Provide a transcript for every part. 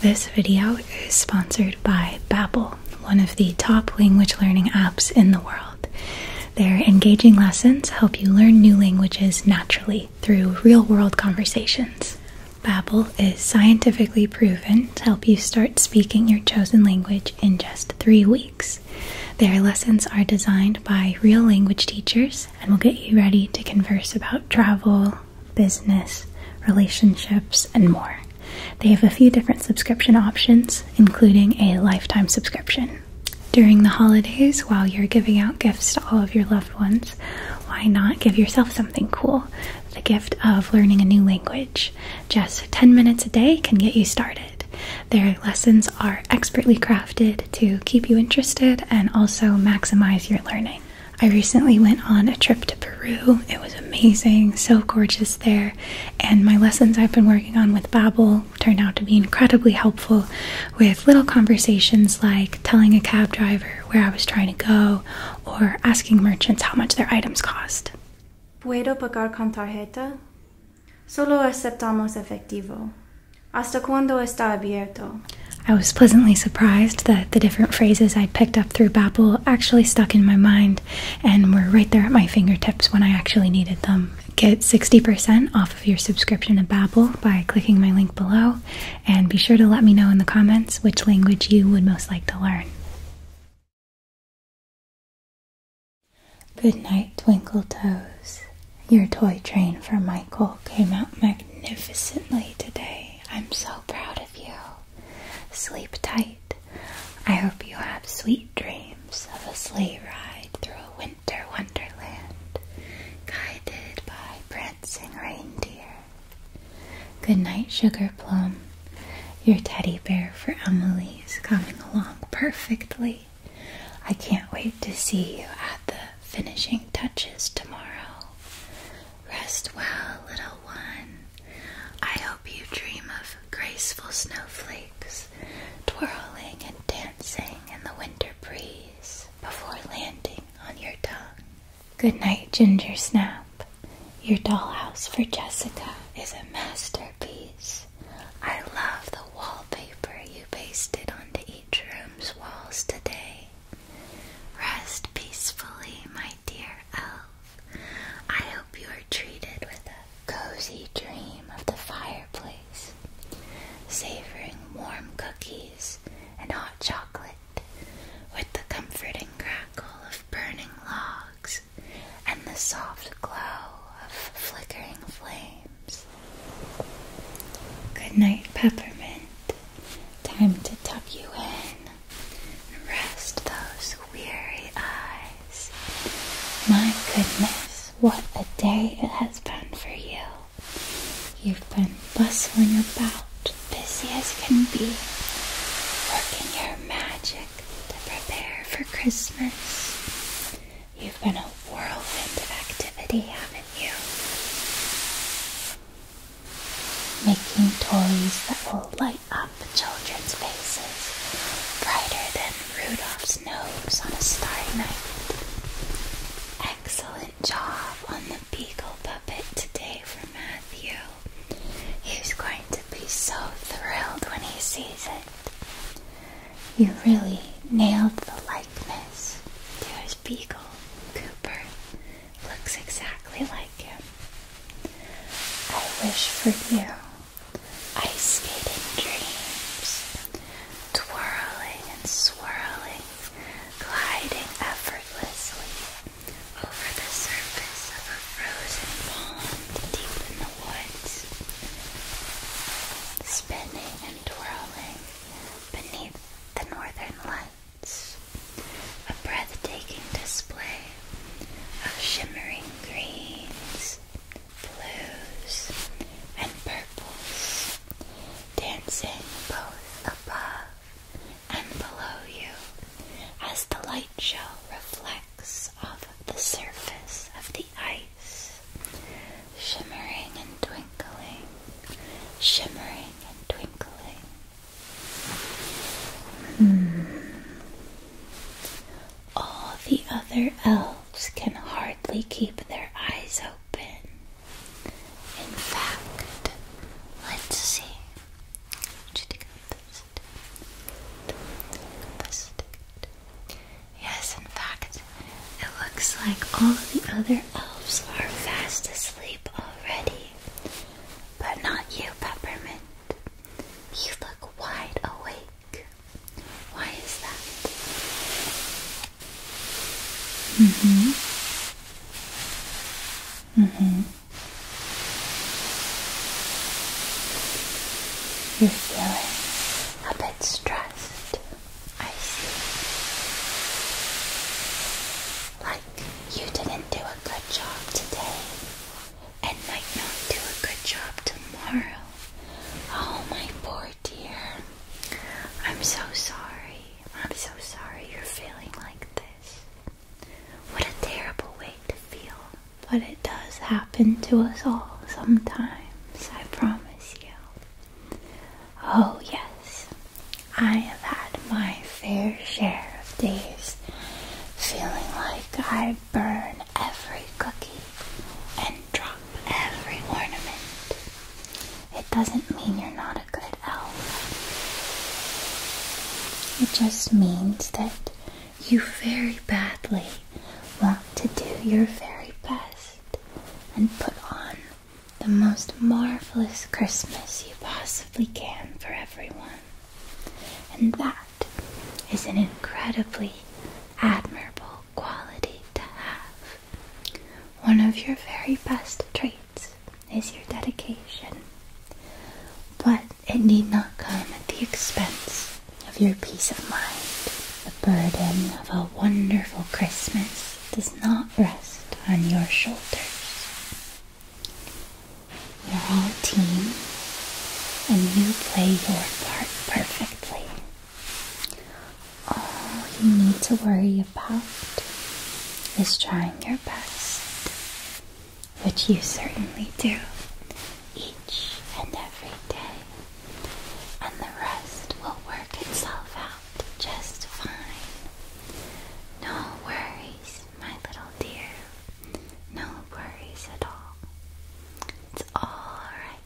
This video is sponsored by Babbel, one of the top language learning apps in the world. Their engaging lessons help you learn new languages naturally through real-world conversations. Babbel is scientifically proven to help you start speaking your chosen language in just 3 weeks. Their lessons are designed by real language teachers and will get you ready to converse about travel, business, relationships, and more. They have a few different subscription options, including a lifetime subscription. During the holidays, while you're giving out gifts to all of your loved ones, why not give yourself something cool? The gift of learning a new language. Just 10 minutes a day can get you started. Their lessons are expertly crafted to keep you interested and also maximize your learning. I recently went on a trip to Peru. It was amazing, so gorgeous there. And my lessons I've been working on with Babbel turned out to be incredibly helpful with little conversations like telling a cab driver where I was trying to go or asking merchants how much their items cost. ¿Puedo pagar con tarjeta? Solo aceptamos efectivo. ¿Hasta cuándo está abierto? I was pleasantly surprised that the different phrases I would picked up through Babbel actually stuck in my mind and were right there at my fingertips when I actually needed them. Get 60% off of your subscription to Babbel by clicking my link below and be sure to let me know in the comments which language you would most like to learn. Good night, Twinkle Toes. Your toy train for Michael came out magnificently today. I'm so proud of you. Sleep tight. I hope you have sweet dreams of a sleigh ride through a winter wonderland, guided by prancing reindeer. Good night, Sugar Plum. Your teddy bear for Emily is coming along perfectly. I can't wait to see you at the finishing touches tomorrow. Rest well, little one. I hope you dream of graceful snowflakes twirling and dancing in the winter breeze before landing on your tongue. Good night, Ginger Snap. Your dollhouse for Jessica is a masterpiece. I love the wallpaper you pasted onto each room's walls today. Rest peacefully, my dear elf. I hope you are treated with a cozy dream of the fireplace, savoring warm cookies and hot chocolate, with the comforting crackle of burning logs and the soft glow of flickering flames. Good night, Peppermint. Time to tuck you in Rest those weary eyes. My goodness, what a day it has been for you. You've been bustling about, busy as can be, working your magic to prepare for Christmas. You've been a whirlwind of activity, haven't you? making toys that will light up children's faces brighter than Rudolph's nose on a starry night. Excellent job on the beagle puppet today for Matthew. He's going to be so thrilled when he sees it. You really nailed the likeness to his beagle, Cooper looks exactly like him. I wish for you ice skating dreams, twirling and swirling, gliding effortlessly over the surface of a frozen pond deep in the woods, spinning and twirling beneath the northern light a breathtaking display of shimmering greens, blues, and purples dancing both above and below you as the light show reflects off the surface of the ice, shimmering and twinkling, shimmering and twinkling. Hmm. All the other elves can hardly keep their eyes open. In fact, let's see. Yes, in fact, it looks like all the other elves are fast asleep already. But not you, Peppermint. You look wide awake. Why is that? Mm-hmm. Mm-hmm. You're feeling a bit stressed. I see. Like you didn't do a good job today and might not do a good job tomorrow. Oh, my poor dear. I'm so sorry. I'm so sorry you're feeling like this. What a terrible way to feel. But it does happen to us all sometimes, I promise you. Oh, yes. I have had my fair share of days feeling like I burn every cookie and drop every ornament. It doesn't mean you're not a good elf. It just means that you very badly want to do your very best and put on the most marvelous Christmas you possibly can for everyone. And that is an incredibly admirable quality to have. One of your very best traits is your dedication, but it need not come at the expense of your peace of mind. The burden of a wonderful Christmas does not rest on your shoulders you are all a team, and you play your part perfectly. All you need to worry about is trying your best, which you certainly do each and every day, and the rest will work itself out just fine. No worries, my little dear. No worries at all. It's alright.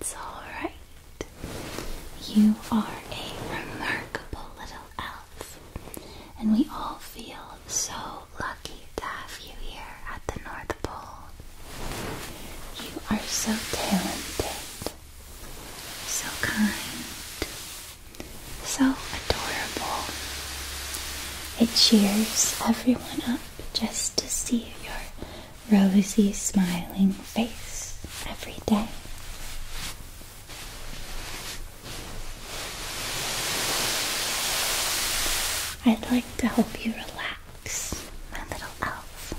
It's alright. You are a remarkable little elf, and we all feel so lucky to have you here at the North Pole. You are so talented, so kind, so adorable. It cheers everyone up just to see your rosy, smiling face every day. I'd like to help you relax, my little elf.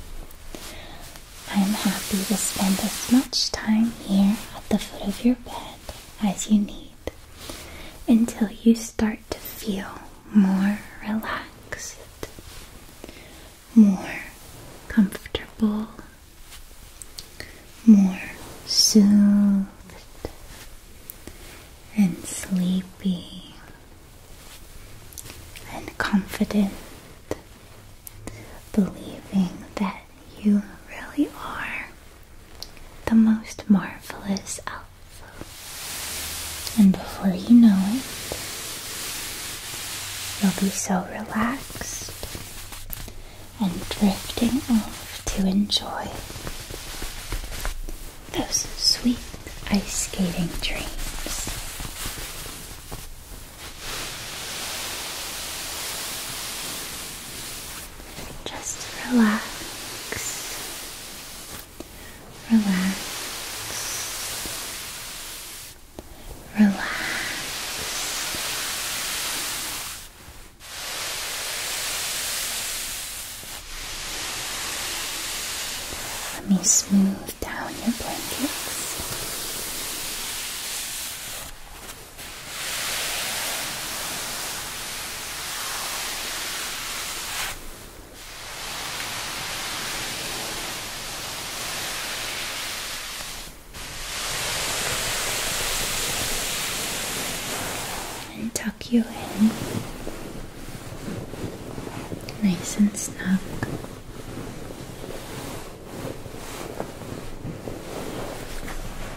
I'm happy to spend as much time here at the foot of your bed as you need until you start to feel more relaxed, more comfortable, more soothed and sleepy and confident, believing that you really are the most marvelous elf. And before you know it, you'll be so relaxed and drifting off to enjoy those sweet ice skating dreams. Just relax, relax, relax. Let me smooth down your blankets. And tuck you in nice and snug.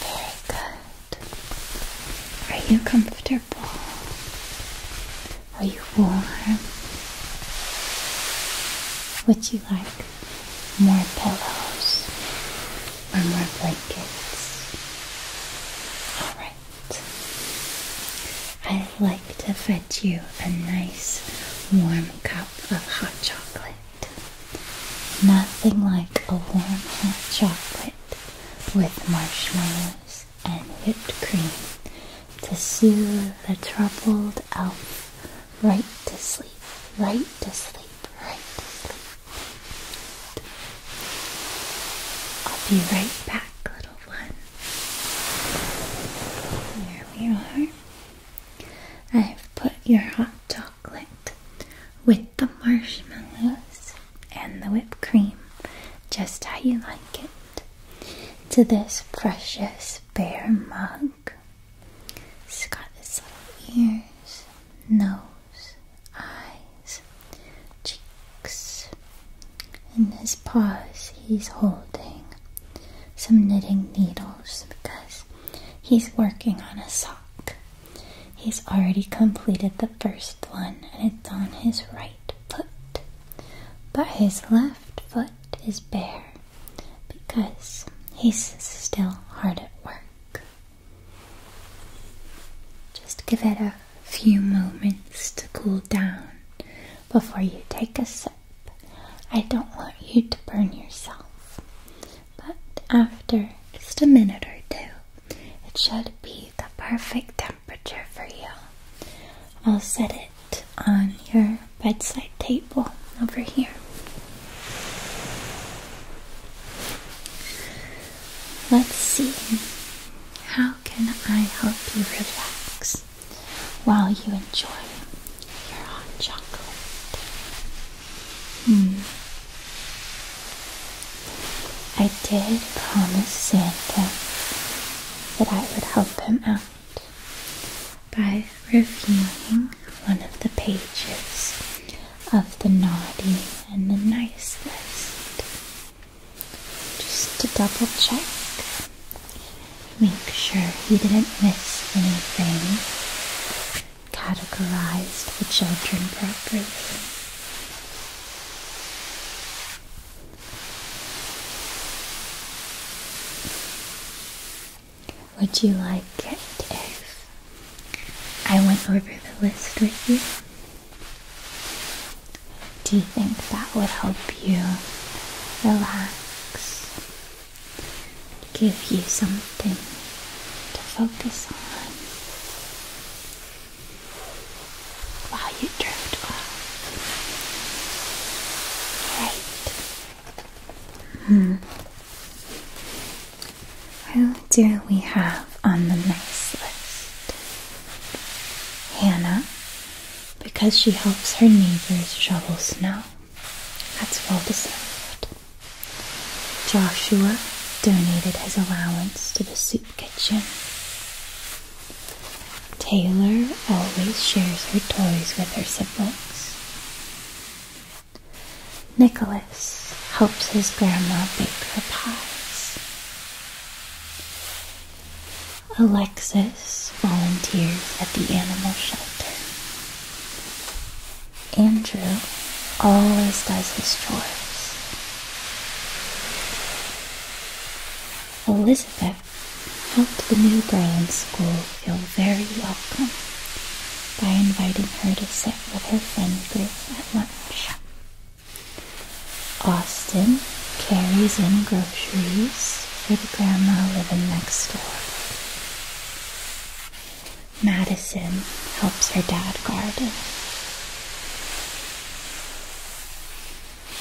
Very good. Are you comfortable? Are you warm? Would you like more pillows or more blankets? Alright. I'd like to fetch you a nice warm cup of hot chocolate. Nothing like a warm hot chocolate with marshmallows and whipped cream to soothe the troubled elf right to sleep, right to sleep, right to sleep. I'll be right back, little one. There we are. I've put your hot dog with the marshmallows and the whipped cream, just how you like it, to this precious bear mug. he has got his little ears, nose, eyes, cheeks. and his paws, he's holding some knitting needles because he's working on a sock. He's already completed the first one and it's on his right foot, but his left foot is bare because he's still hard at work. Just give it a few moments to cool down before you take a sip. I don't want you to burn yourself but after just a minute or two, it should be the perfect temperature for you. I'll set it on your bedside table over here. Let's see. How can I help you relax while you enjoy your hot jungle. Hmm. I did promise Santa that I would help him out by reviewing one of the pages of the naughty and the nice list. Just to double check, make sure he didn't miss anything categorized the children properly. Would you like it if I went over the list with you? Do you think that would help you relax give you something to focus on while you drift off. Right. Who hmm. do we have on the nice list? Hannah, because she helps her neighbors shovel snow. That's well deserved. Joshua donated his allowance to the soup kitchen. Taylor always shares her toys with her siblings. Nicholas helps his grandma bake her pies. Alexis volunteers at the animal shelter. Andrew always does his chores. Elizabeth helped the new girl in school feel very welcome by inviting her to sit with her friend group at lunch. Austin carries in groceries for the grandma living next door. Madison helps her dad garden.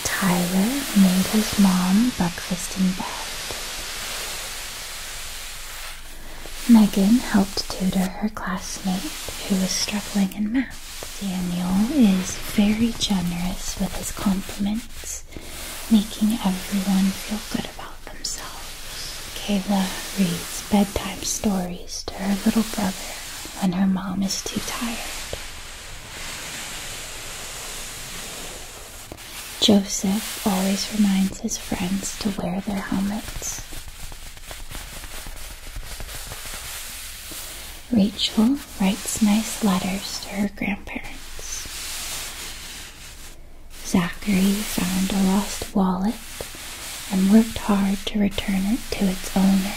Tyler made his mom breakfast in bed. Megan helped tutor her classmate who was struggling in math. Daniel is very generous with his compliments, making everyone feel good about themselves. Kayla reads bedtime stories to her little brother when her mom is too tired. Joseph always reminds his friends to wear their helmets. Rachel writes nice letters to her grandparents. Zachary found a lost wallet and worked hard to return it to its owner.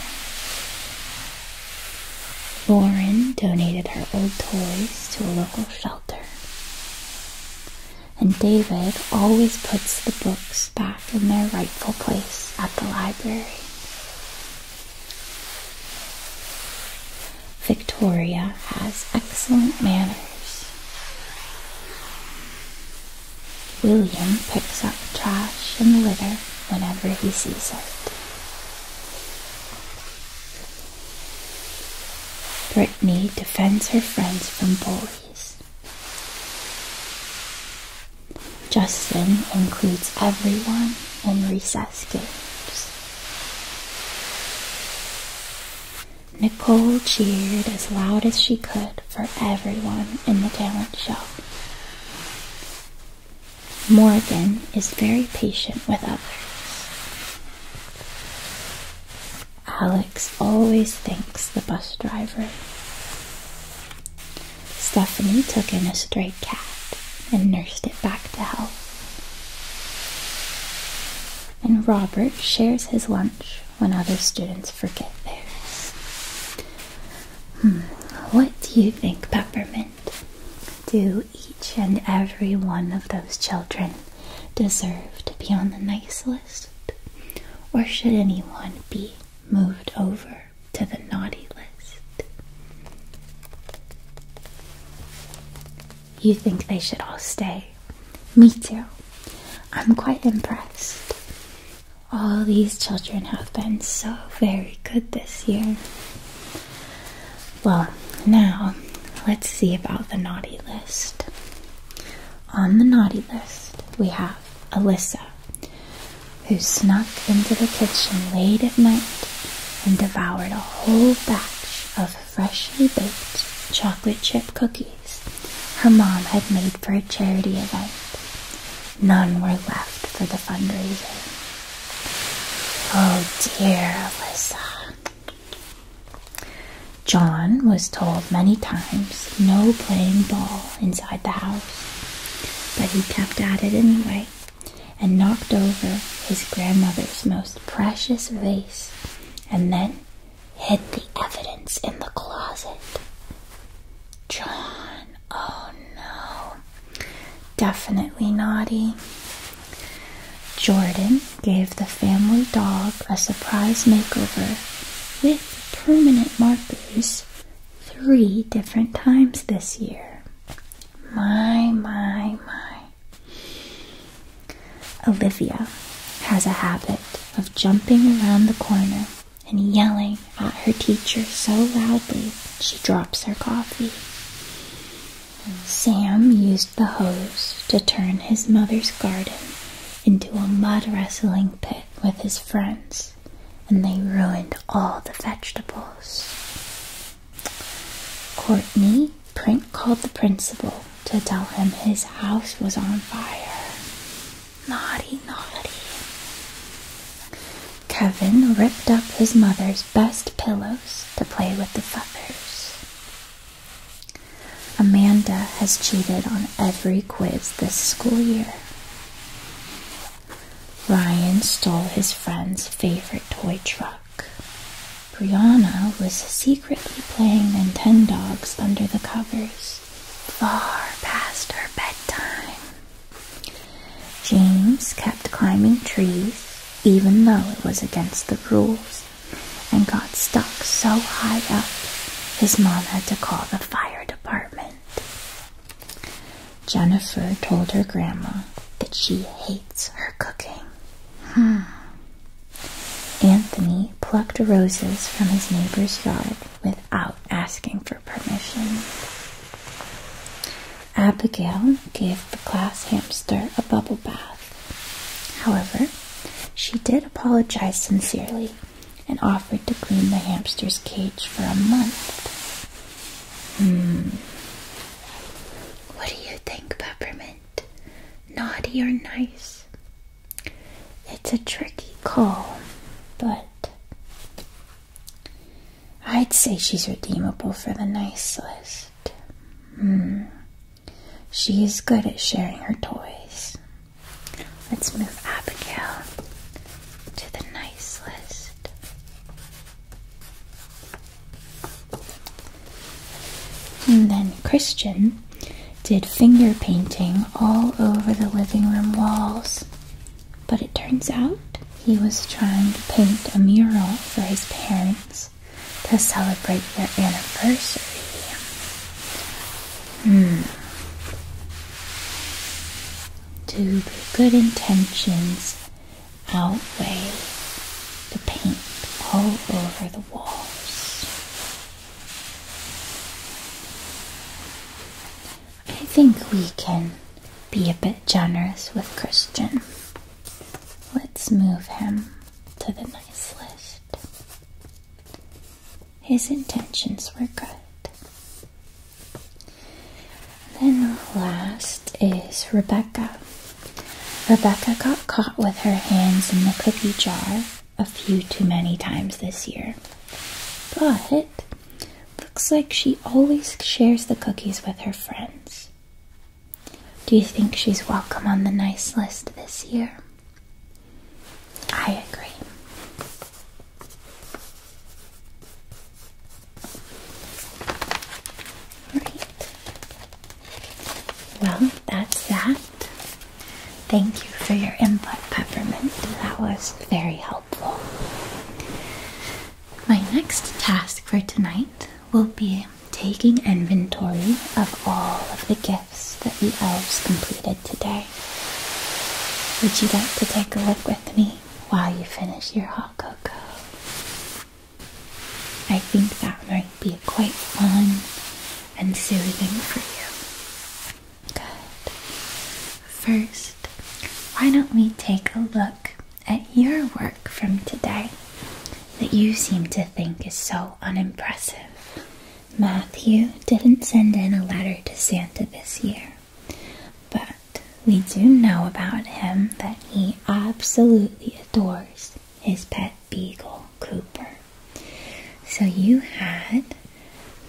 Lauren donated her old toys to a local shelter. And David always puts the books back in their rightful place at the library. Victoria has excellent manners. William picks up trash and litter whenever he sees it. Brittany defends her friends from bullies. Justin includes everyone in recess games. Nicole cheered as loud as she could for everyone in the talent show. Morgan is very patient with others. Alex always thanks the bus driver. Stephanie took in a stray cat and nursed it back to health. And Robert shares his lunch when other students forget theirs. Hmm, what do you think, Peppermint? Do each and every one of those children deserve to be on the nice list? Or should anyone be moved over to the naughty list? You think they should all stay me too. I'm quite impressed. All these children have been so very good this year. Well, now let's see about the naughty list. On the naughty list, we have Alyssa, who snuck into the kitchen late at night and devoured a whole batch of freshly baked chocolate chip cookies her mom had made for a charity event. None were left for the fundraiser. Oh dear, Alyssa. John was told many times no playing ball inside the house, but he kept at it anyway and knocked over his grandmother's most precious vase and then hid the evidence in the closet. John, oh no. Definitely naughty. Jordan gave the family dog a surprise makeover with permanent markers three different times this year. My, my, my. Olivia has a habit of jumping around the corner and yelling at her teacher so loudly she drops her coffee. Sam used the hose to turn his mother's garden into a mud wrestling pit with his friends, and they ruined all the vegetables. Courtney Prink called the principal to tell him his house was on fire. Naughty, naughty. Kevin ripped up his mother's best pillows to play with the feathers. Amanda has cheated on every quiz this school year. Ryan stole his friend's favorite toy truck. Brianna was secretly playing Nintendogs under the covers far past her bedtime. James kept climbing trees, even though it was against the rules, and got stuck so high up his mom had to call the fire department. Jennifer told her grandma that she hates her cooking. Hmm. Anthony plucked roses from his neighbor's yard without asking for permission. Abigail gave the class hamster a bubble bath. However, she did apologize sincerely and offered to clean the hamster's cage for a month. Hmm. What do you think, Peppermint? Naughty or nice? It's a tricky call, but I'd say she's redeemable for the nice list. Hmm. She is good at sharing her toys. Let's move Abigail to the nice list. And then Christian did finger painting all over the living room walls. But it turns out he was trying to paint a mural for his parents to celebrate their anniversary. Hmm. Do the good intentions outweigh the paint all over the walls? I think we can be a bit generous with Christian. Let's move him to the nice list. His intentions were good. Then last is Rebecca. Rebecca got caught with her hands in the cookie jar a few too many times this year. But looks like she always shares the cookies with her friends. Do you think she's welcome on the nice list this year? I agree. Right. Well, that's that. Thank you for your input, Peppermint. That was very helpful. My next task for tonight will be taking inventory of all of the gifts that the elves completed today. Would you like to take a look with me while you finish your hot cocoa? I think that might be quite fun and soothing for you. Good. First, why don't we take a look at your work from today that you seem to think is so unimpressive? Matthew didn't send in a letter to Santa this year, but we do know about him that he absolutely adores his pet beagle, Cooper. So you had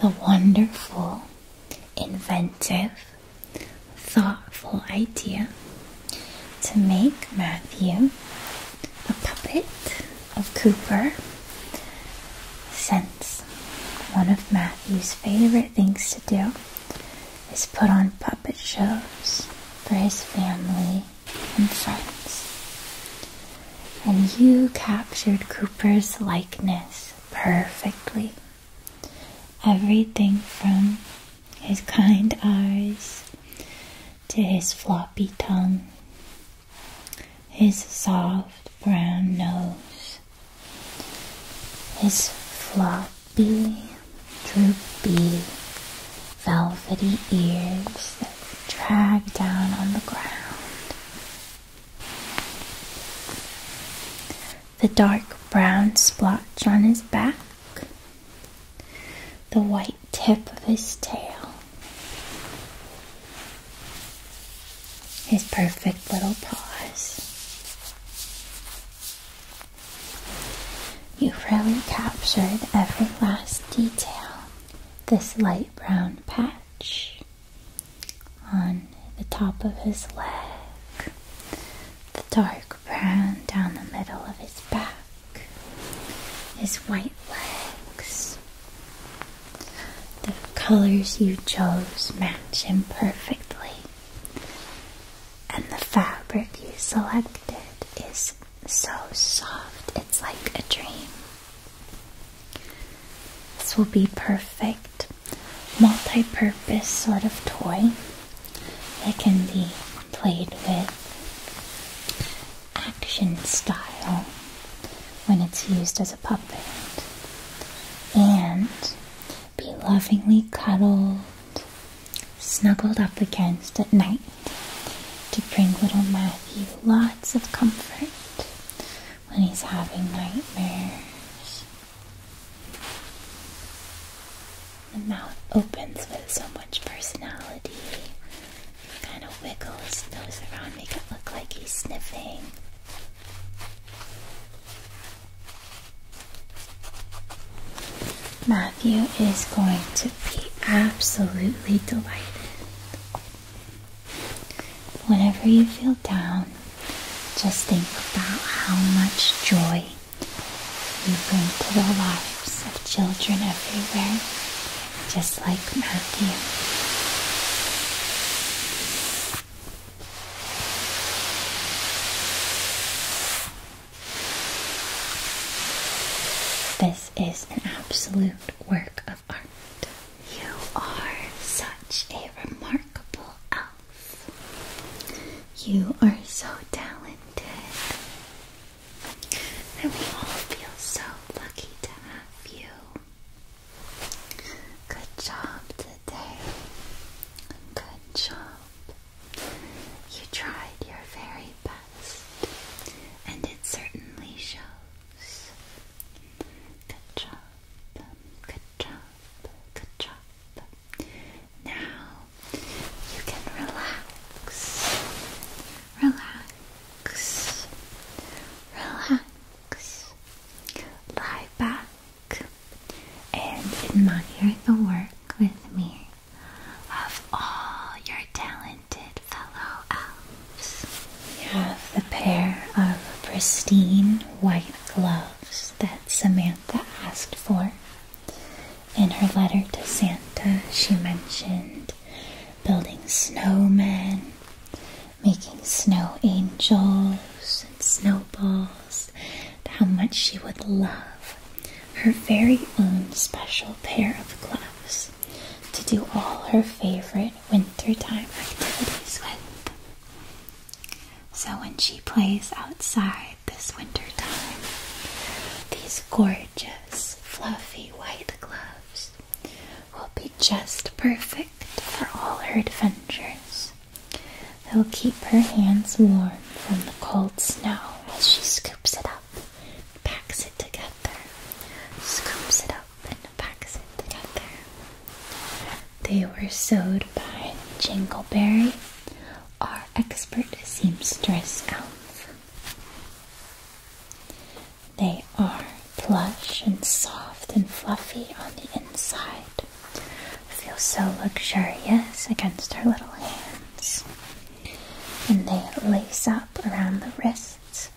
the wonderful inventive, thoughtful idea to make Matthew a puppet of Cooper, since one of Matthew's favorite things to do is put on puppet shows for his family and friends. And you captured Cooper's likeness perfectly. Everything from his kind eyes to his floppy tongue, his soft brown nose, his floppy, droopy, velvety ears that drag down on the ground the dark brown splotch on his back, the white tip of his tail, his perfect little paws. You have really captured every last detail. This light brown patch, on the top of his leg, the dark brown down the middle of his back, his white legs. The colors you chose match him perfectly, and the fabric you selected is so soft, it's like a dream. This will be perfect multi-purpose sort of toy that can be played with action style when it's used as a puppet and be lovingly cuddled snuggled up against at night to bring little Matthew lots of comfort when he's having nightmares. The mouth opens with so much personality. Kind of wiggles his nose around, make it look like he's sniffing. Matthew is going to be absolutely delighted. Whenever you feel down, just think about how much joy you bring to the lives of children everywhere, just like Matthew. This is an absolute work of art. You are such a remarkable elf. You are so talented. And we all feel so lucky to have you. Good job today. Good job. You tried your very best, and it certainly shows. Good job. Good job, good job. Now you can relax, relax, relax. Lie back and admire the work with me of all your talented fellow elves. We have the pair of pristine white gloves that Samantha asked for. In her letter to Santa, she mentioned building snowmen, making snow angels and snowballs, and how much she would love her very own special pair of gloves to do all her favorite wintertime activities with. So when she plays outside this winter time, these gorgeous fluffy white gloves will be just perfect for all her adventures. They'll keep her hands warm from the cold snow as she scoops it up, packs it together, scoops it up and packs together. They were sewed by Jingleberry, our expert seamstress elf. They are plush and soft and fluffy on the inside. Feel so luxurious against her little hands. And they lace up around the wrists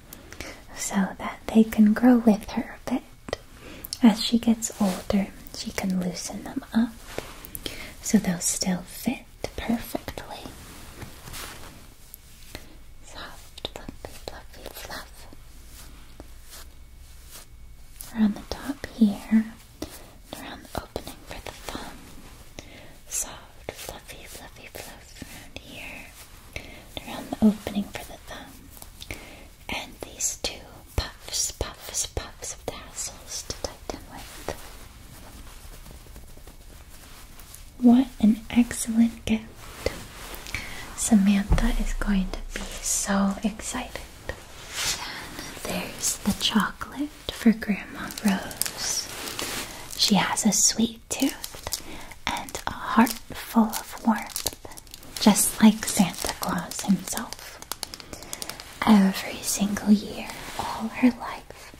so that they can grow with her bit as she gets older, she can loosen them up so they'll still fit perfectly. Soft, fluffy, fluffy, fluff. Around the top here, around the opening for the thumb. Soft, fluffy, fluffy, fluff around here, around the opening for the thumb. And these two puffs, puffs, puffs of tassels to tighten with. What an excellent gift! Samantha is going to be so excited. And there's the chocolate for Grandma Rose. She has a sweet tooth and a heart full of warmth just like Santa Claus himself. Every single year, all her life,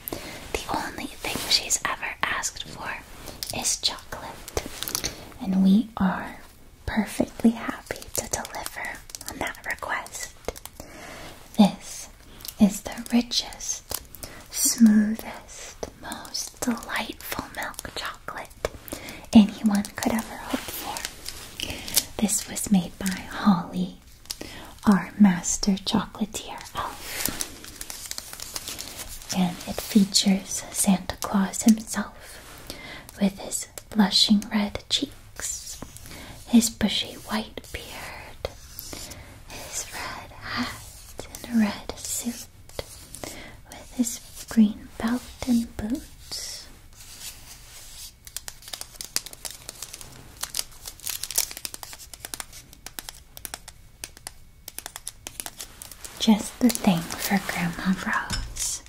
the only thing she's ever asked for is chocolate. And we are perfectly happy to deliver on that request. This is the richest, smoothest, most delightful milk chocolate anyone could ever hope for. This was made by Holly, our master chocolatier elf. And it features Santa Claus himself with his blushing red cheeks, his bushy white beard, his red hat and red suit, with his green belt and boots, just the thing for Grandma Rose.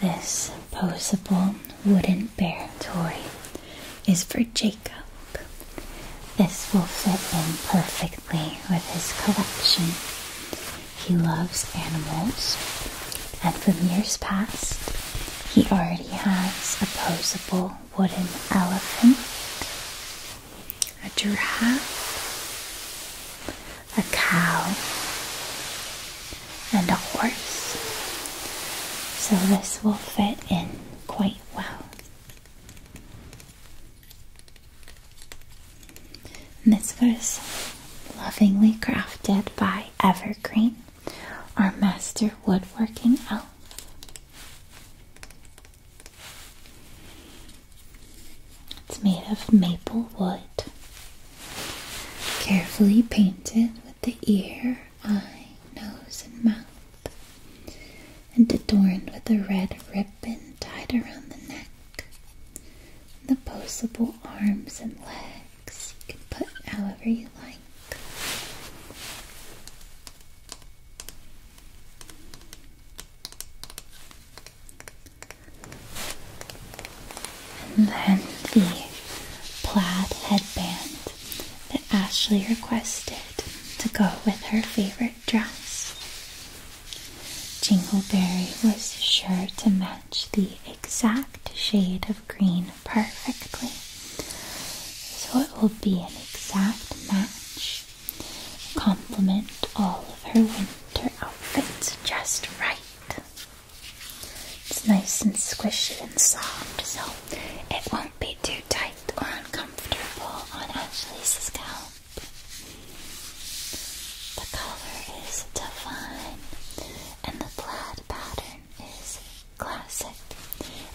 This posable wooden bear toy is for Jacob. This will fit in perfectly with his collection. He loves animals, and from years past, he already has a posable wooden elephant, a giraffe, a cow, and a horse. So this will fit in quite well this was lovingly crafted by Evergreen, our master woodworking elf. It's made of maple wood, carefully painted with the ear, eye, nose, and mouth, and adorned with a red ribbon tied around the neck, the posable arms and legs. You can put however you like. And then the plaid headband that Ashley requested to go with her favorite dress. Jingleberry was sure to match the exact exact shade of green perfectly. So it will be an exact match. Complement all of her winter outfits just right. It's nice and squishy and soft, so it won't be too tight or uncomfortable on Ashley's scalp. The color is divine and the plaid pattern is classic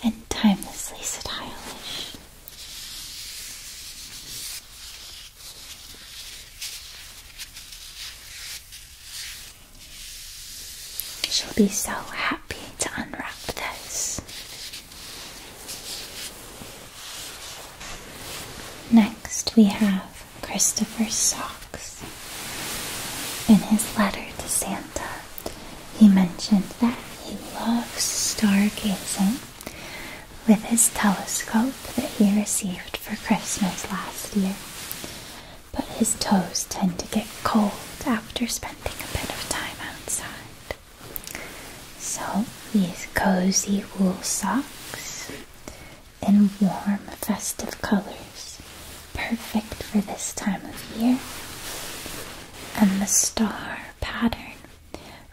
and timelessly stylish. She'll be so happy to unwrap this. Next, we have Christopher socks. In his letter to Santa, he mentioned that he loves stargazing with his telescope that he received for Christmas last year. But his toes tend to get cold after spending a bit of time outside. So, these cozy wool socks in warm, festive colors, perfect for this time of year. And the star pattern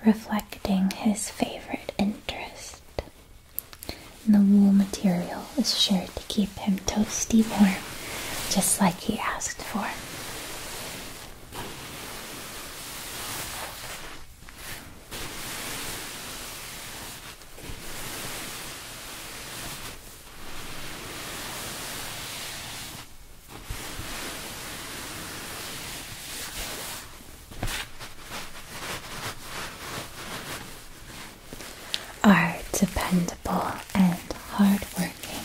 reflecting his favorite interest. And the wool material is sure to keep him toasty warm, just like he asked for. Our dependable and hardworking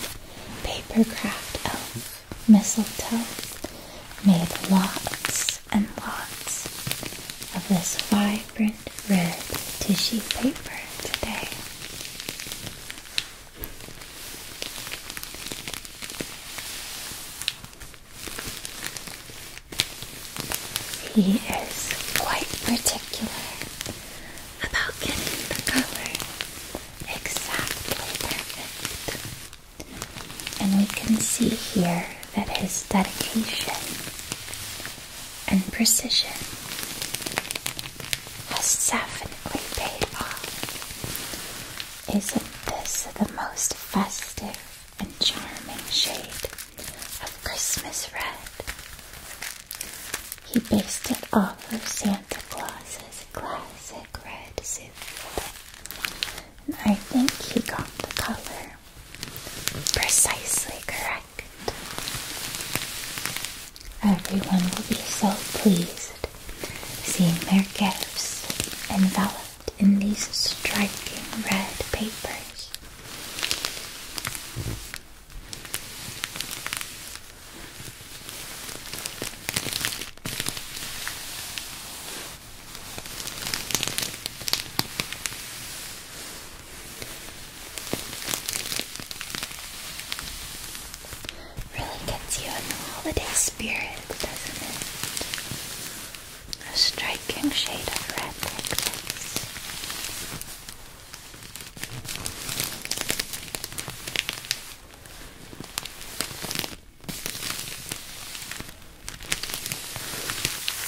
paper craft elf mistletoe made lots and lots of this fine Print red tissue paper today. He is quite particular about getting the color exactly perfect. And we can see here that his dedication and precision has definitely paid off. Isn't this the most festive and charming shade of Christmas red? He based it off of Santa Claus's classic red suit. And I think he got the color Precisely correct. Everyone will be so pleased seeing their gifts enveloped in these striking red papers. Really gets you in the holiday spirit, doesn't it? A striking shade of red like this.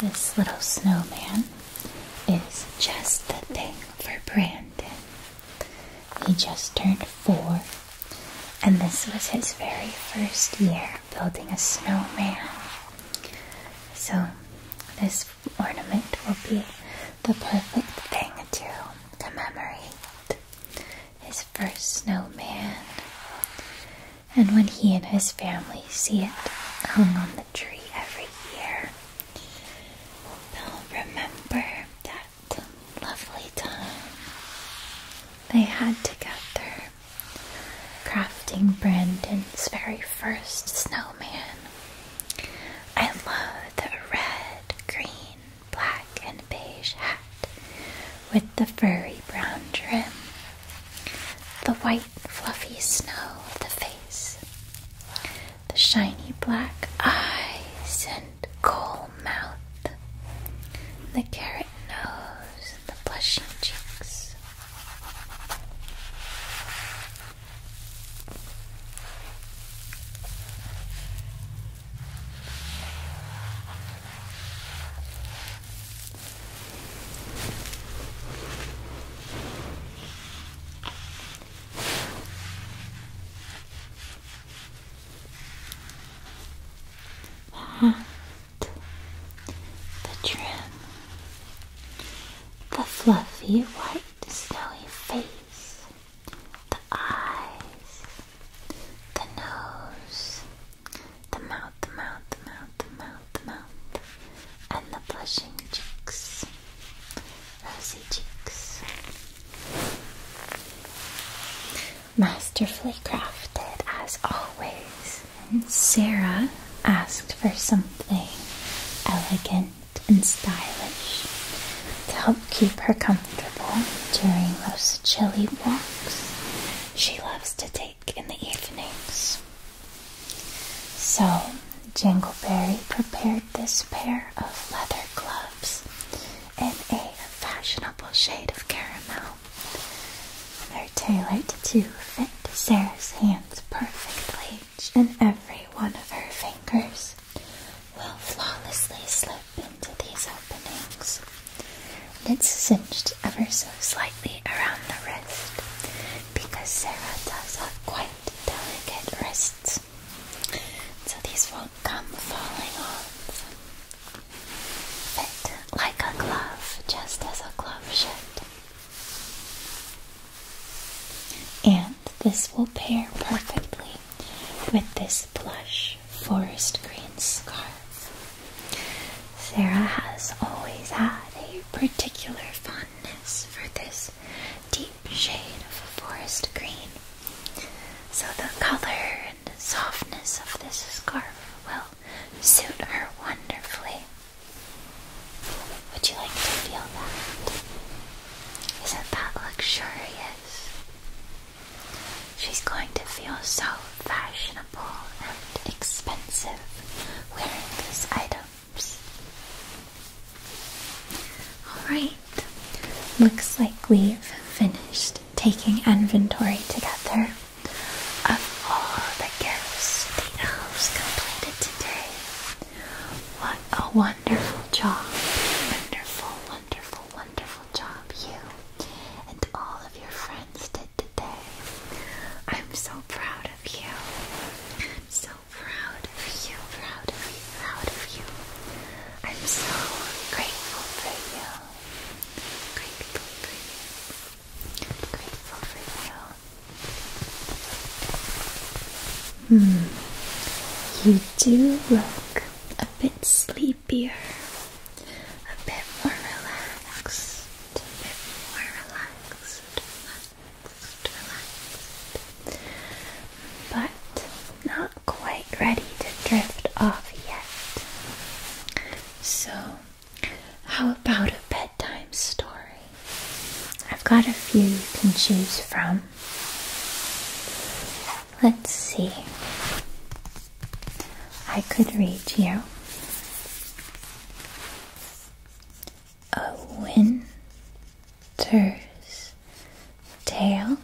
This little snowman is just the thing for Brandon. He just turned four, and this was his very first year building a snowman. So, this ornament will be the perfect thing to commemorate his his first snowman. And when he and his family see it hung on the tree every year, they'll remember that lovely time they had together crafting Brandon's very first snowman. I love the red, green, black, and beige hat with the furry brown trim, the white fluffy snow of the face, the shiny black eyes and coal mouth, the carrot nose and the blushing cheeks. That the trim, the fluffy white snowy face, the eyes, the nose, the mouth, the mouth, the mouth, the mouth, the mouth, and the blushing cheeks, rosy cheeks. Masterfully crafted as always. And Sarah asked for something elegant and stylish to help keep her comfortable during those chilly walks. She loves to take in the evenings. So, Jingleberry prepared this pair of leather gloves in a fashionable shade of caramel. They're tailored to fit Sarah's hands perfectly, and every one of her fingers will flawlessly slip into these openings and it's cinched ever so slightly around the wrist because Sarah does have quite delicate wrists, so these won't come falling off. Fit like a glove, just as a glove should. And this will pair perfectly with this plush forest green scarf. Sarah has always had a particular fondness for this deep shade of forest green, so the color and softness of this scarf will suit her wonderfully. Would you like to feel that? Isn't that luxurious? She's going to feel so fashionable fashionable and expensive wearing these items. Alright, looks like we've finished taking inventory together of all the gifts the have completed today. What a wonderful job! Wonderful, wonderful, wonderful job, you and all of your friends. I'm so proud of you. I'm so proud of you, proud of you, proud of you. I'm so grateful for you. Grateful for Grateful for you. Hmm. You do look a bit sleepier a bit more relaxed, a bit more relaxed, relaxed, relaxed, but not quite ready to drift off yet. So, how about a bedtime story? I've got a few you can choose from. Let's see. I could read you A Winter's Tale.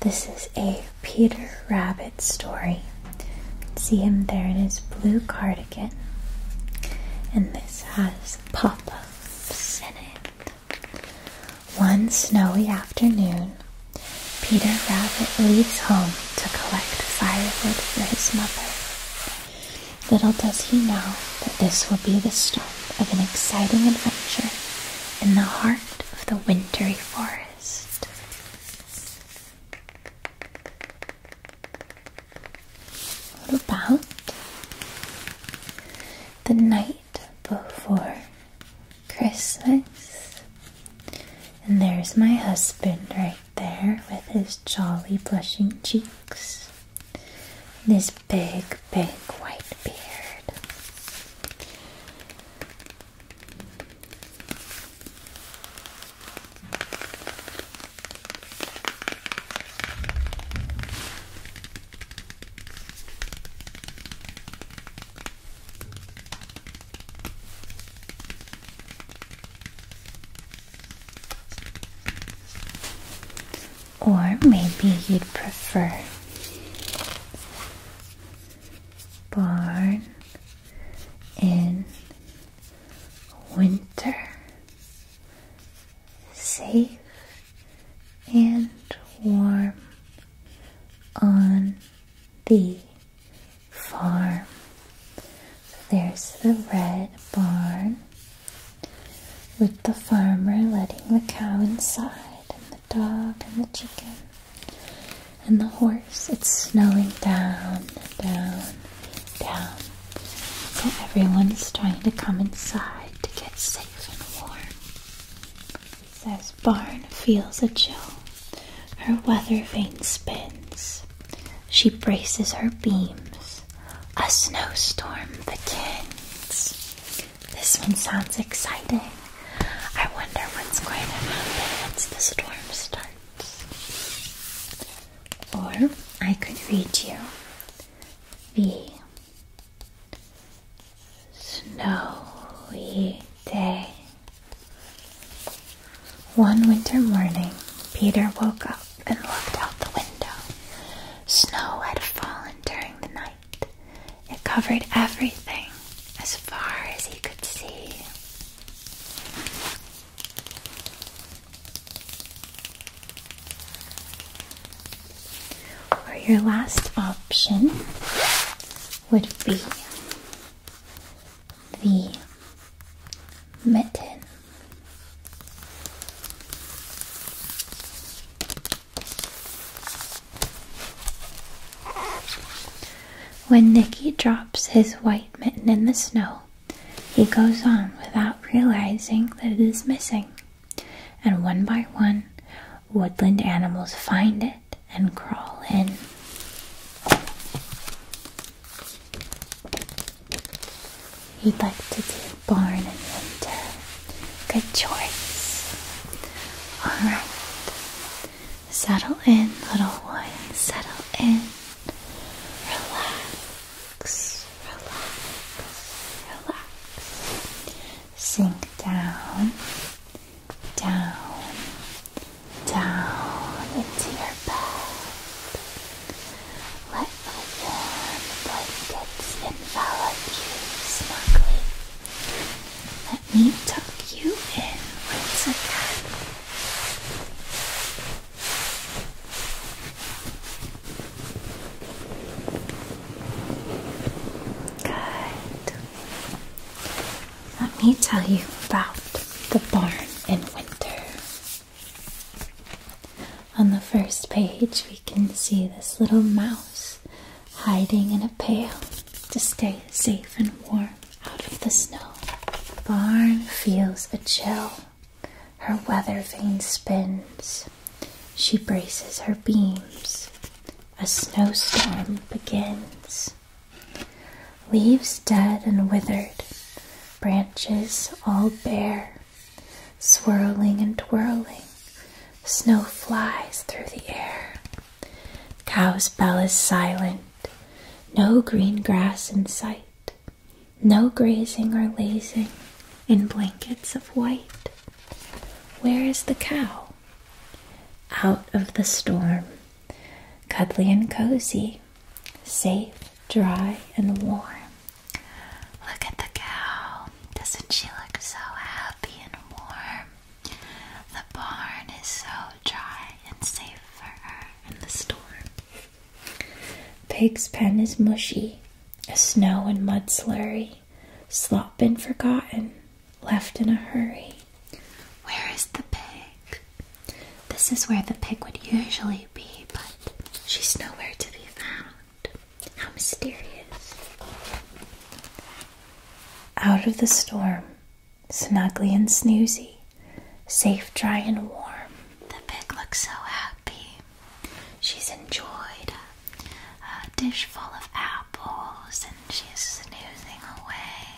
This is a Peter Rabbit story. See him there in his blue cardigan. And this has pop ups in it. One snowy afternoon, Peter Rabbit leaves home to collect firewood for his mother. Little does he know that this will be the start of an exciting adventure in the heart of the wintry forest. about the night before Christmas? And there's my husband right there with his jolly blushing cheeks, his big, big white beard. Or maybe you'd prefer barn in winter, safe and warm on the farm. there's the red barn with the farmer letting the cow inside, and the dog, and the chicken, and the horse. It's snowing down, down, down. So everyone is trying to come inside to get safe and warm. It says, Barn feels a chill. Her weather vane spins. She braces her beams. A snowstorm begins. This one sounds exciting. I wonder what's going to happen once the storm starts. Or I could read you the snowy day one winter morning, Peter woke up and looked out the window. Snow had fallen during the night. It covered everything as far as he could see. Or your last option would be the mitten. When Nicky drops his white mitten in the snow, he goes on without realizing that it is missing, and one by one, woodland animals find it and crawl in. You'd like to do barn in winter. Good choice. Alright. Settle in, little one. Settle in. Relax. Relax. Relax. Sink down. Down down into your bed. Let the warm blankets envelop you snugly. Let me tuck you in once again. Good. Let me tell you about the barn in winter. On the first page, we can see this little mouse hiding in a pail to stay safe and warm out of the snow. Barn feels a chill. Her weather vane spins. She braces her beams. A snowstorm begins leaves dead and withered, branches all bare, swirling and twirling, snow flies through the air. Cow's bell is silent, no green grass in sight, no grazing or lazing in blankets of white. Where is the cow? Out of the storm, cuddly and cozy, safe dry and warm. Look at the cow. Doesn't she look so happy and warm? The barn is so dry and safe for her in the storm. Pig's pen is mushy, a snow and mud slurry, slop been forgotten, left in a hurry. Where is the pig? This is where the pig would usually be, but she's nowhere to be found. How mysterious. Out of the storm, snuggly and snoozy, safe, dry, and warm, the pig looks so happy. She's enjoyed a, dish full of apples and she's snoozing away,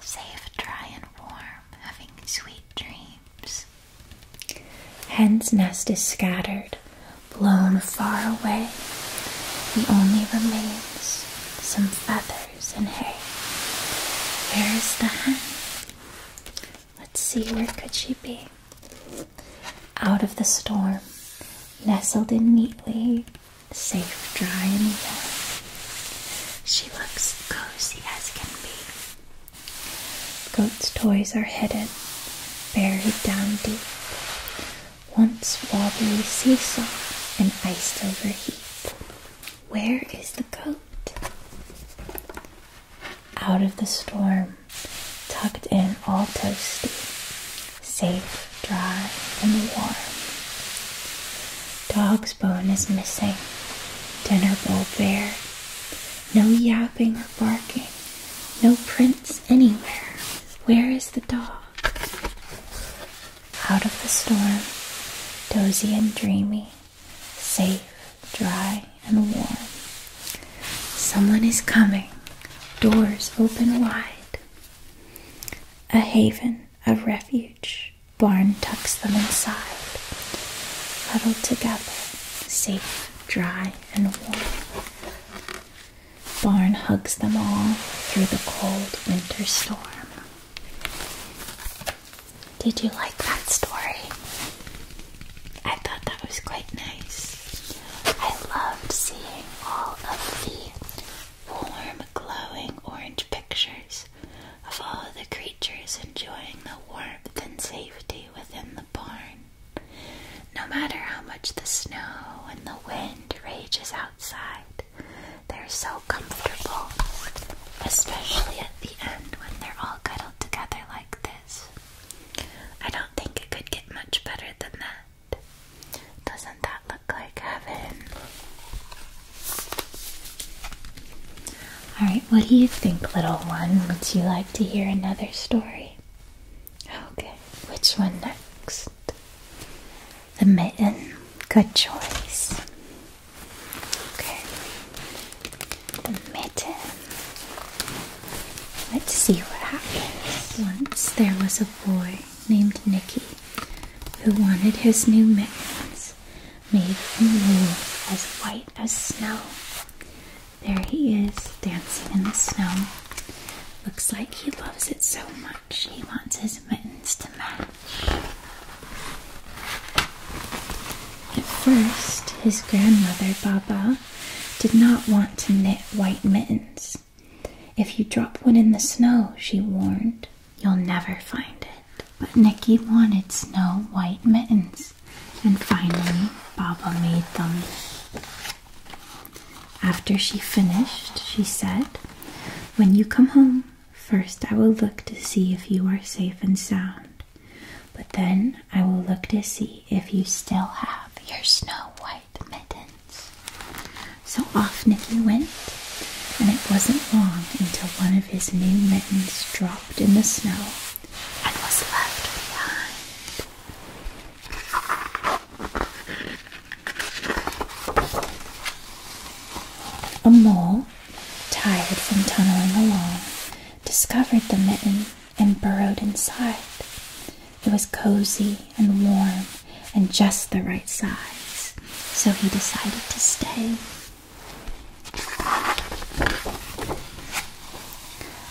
safe, dry, and warm, having sweet dreams. Hen's nest is scattered, blown far away. The only remains some feathers and hay. Where is the hen? Let's see, where could she be? Out of the storm, nestled in neatly, safe, dry, and warm. She looks cozy as can be. Goat's toys are hidden, buried down deep. Once wobbly seesaw an iced over heap. Where is the goat? Out of the storm, tucked in all toasty, safe, dry, and warm. Dog's bone is missing, dinner bowl bare no yapping or barking. No prints anywhere. Where is the dog? Out of the storm, dozy and dreamy, safe, dry, and warm. Someone is coming, doors open wide. A haven of refuge. Barn tucks them inside, huddled together, safe, dry, and warm. Barn hugs them all through the cold winter storm. Did you like that story? I thought that was quite nice. I loved seeing all of the warm, glowing orange pictures of all the creatures enjoying the warmth and safety within the barn. No matter how much the snow and the wind rages outside, they're so comfortable, especially at the end when they're all cuddled together like this. I don't think it could get much better than that. Doesn't that look like heaven? All right, what do you think, little one? Would you like to hear another story? Okay, which one next? The mitten. Good choice. Okay, the mitten. Let's see what happens. Once there was a boy named Nicky who wanted his new mittens made from wool as white as snow. There he is, dancing in the snow. Looks like he loves it so much, he wants his mittens to match. At first, his grandmother, Baba, did not want to knit white mittens. If you drop one in the snow, she warned, you'll never find it but Nikki wanted snow white mittens, and finally Baba made them. After she finished, she said, When you come home, first I will look to see if you are safe and sound, but then I will look to see if you still have your snow white mittens. So off Nikki went, and it wasn't long until one of his new mittens dropped in the snow a mole, tired from tunneling along, discovered the mitten and burrowed inside. It was cozy and warm and just the right size, so he decided to stay.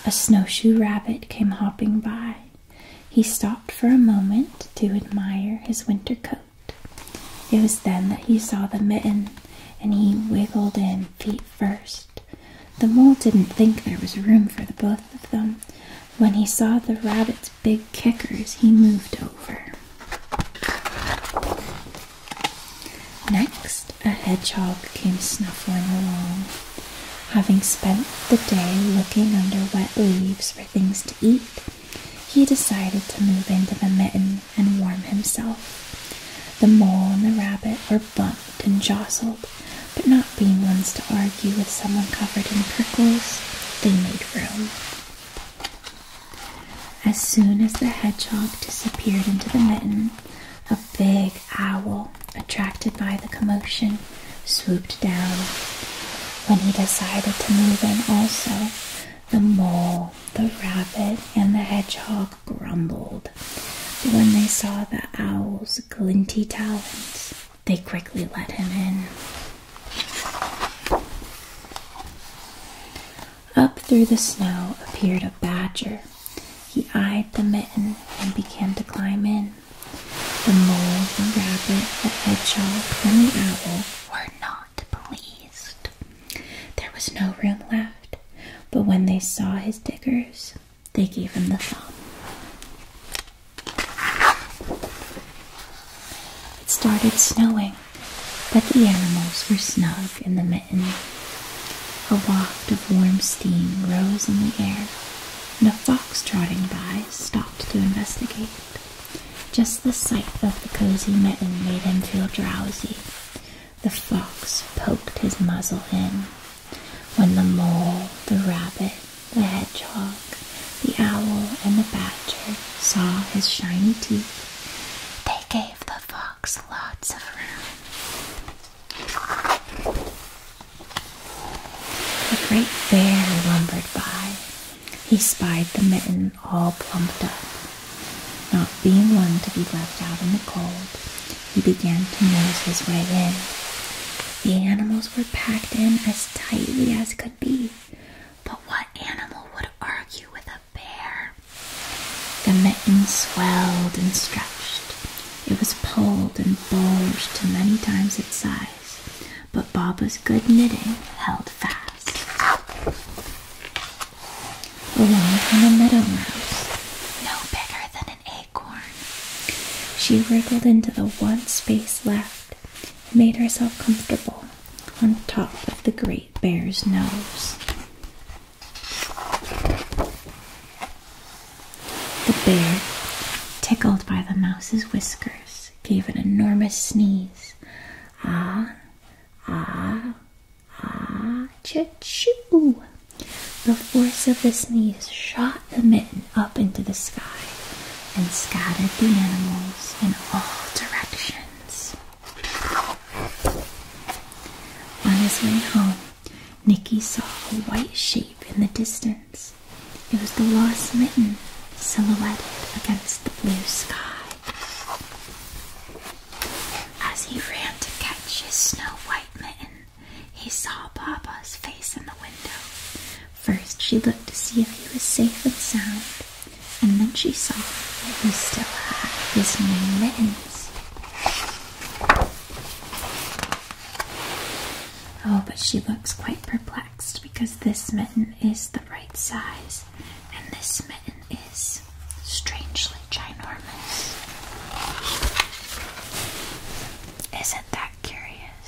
A snowshoe rabbit came hopping by. He stopped for a moment to admire his winter coat. It was then that he saw the mitten, and he wiggled in feet first. The mole didn't think there was room for the both of them. When he saw the rabbit's big kickers, he moved over. Next, a hedgehog came snuffling along, having spent the day looking under wet leaves for things to eat. He decided to move into the mitten and warm himself. The mole and the rabbit were bumped and jostled, but not being ones to argue with someone covered in prickles, they made room. As soon as the hedgehog disappeared into the mitten, a big owl, attracted by the commotion, swooped down. When he decided to move in also, the mole, the rabbit, and the hedgehog grumbled. But when they saw the owl's glinty talons, they quickly let him in. Up through the snow appeared a badger. He eyed the mitten and began to climb in. The mole, the rabbit, the hedgehog, and the owl were not pleased. There was no room left, but when they saw his diggers, they gave him the thumb. It started snowing, but the animals were snug in the mitten. A waft of warm steam rose in the air, and a fox trotting by stopped to investigate. Just the sight of the cozy mitten made him feel drowsy. The fox poked his muzzle in. When the mole, the rabbit, the hedgehog, the owl, and the badger saw his shiny teeth, they gave the fox lots of room. A great bear lumbered by. He spied the mitten all plumped up. Not being one to be left out in the cold, he began to nose his way in. The animals were packed in as tightly as could be, but what animal would argue with a bear? The mitten swelled and stretched. It was pulled and bulged to many times its size, but Baba's good knitting held fast. Along came a meadow mouse, no bigger than an acorn. She wriggled into the one space left and made herself comfortable on top of the great bear's nose. The bear, tickled by the mouse's whiskers, gave an enormous sneeze. Ah, ah, ah, choo! The force of the sneeze shot the mitten up into the sky and scattered the animals in all directions. On his way home, Nicky saw a white shape in the distance. It was the lost mitten, silhouetted against the blue sky. As he ran to catch his snow white mitten, he saw Papa's face in the window. First, she looked to see if he was safe and sound, and then she saw that he still had his new mittens. Oh, but she looks quite perplexed because this mitten is the right size, and this mitten is strangely ginormous. Isn't that curious?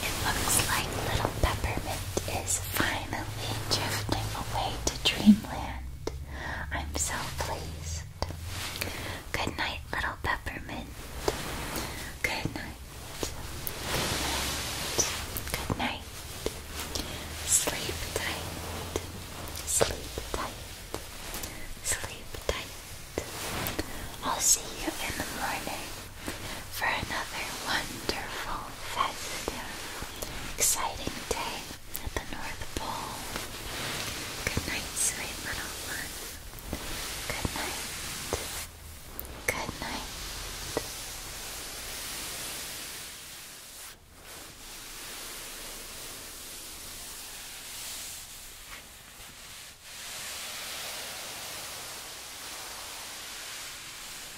It looks like little Peppermint is finally drifting away to dreamland. I'm so pleased. Good night, little peppermint. Good night. Good night. Good night. Sleep tight. Sleep tight. Sleep tight. I'll see you in the morning for another wonderful, festive, exciting day at the North Pole. Good night, sweet little one. Good night. Good night.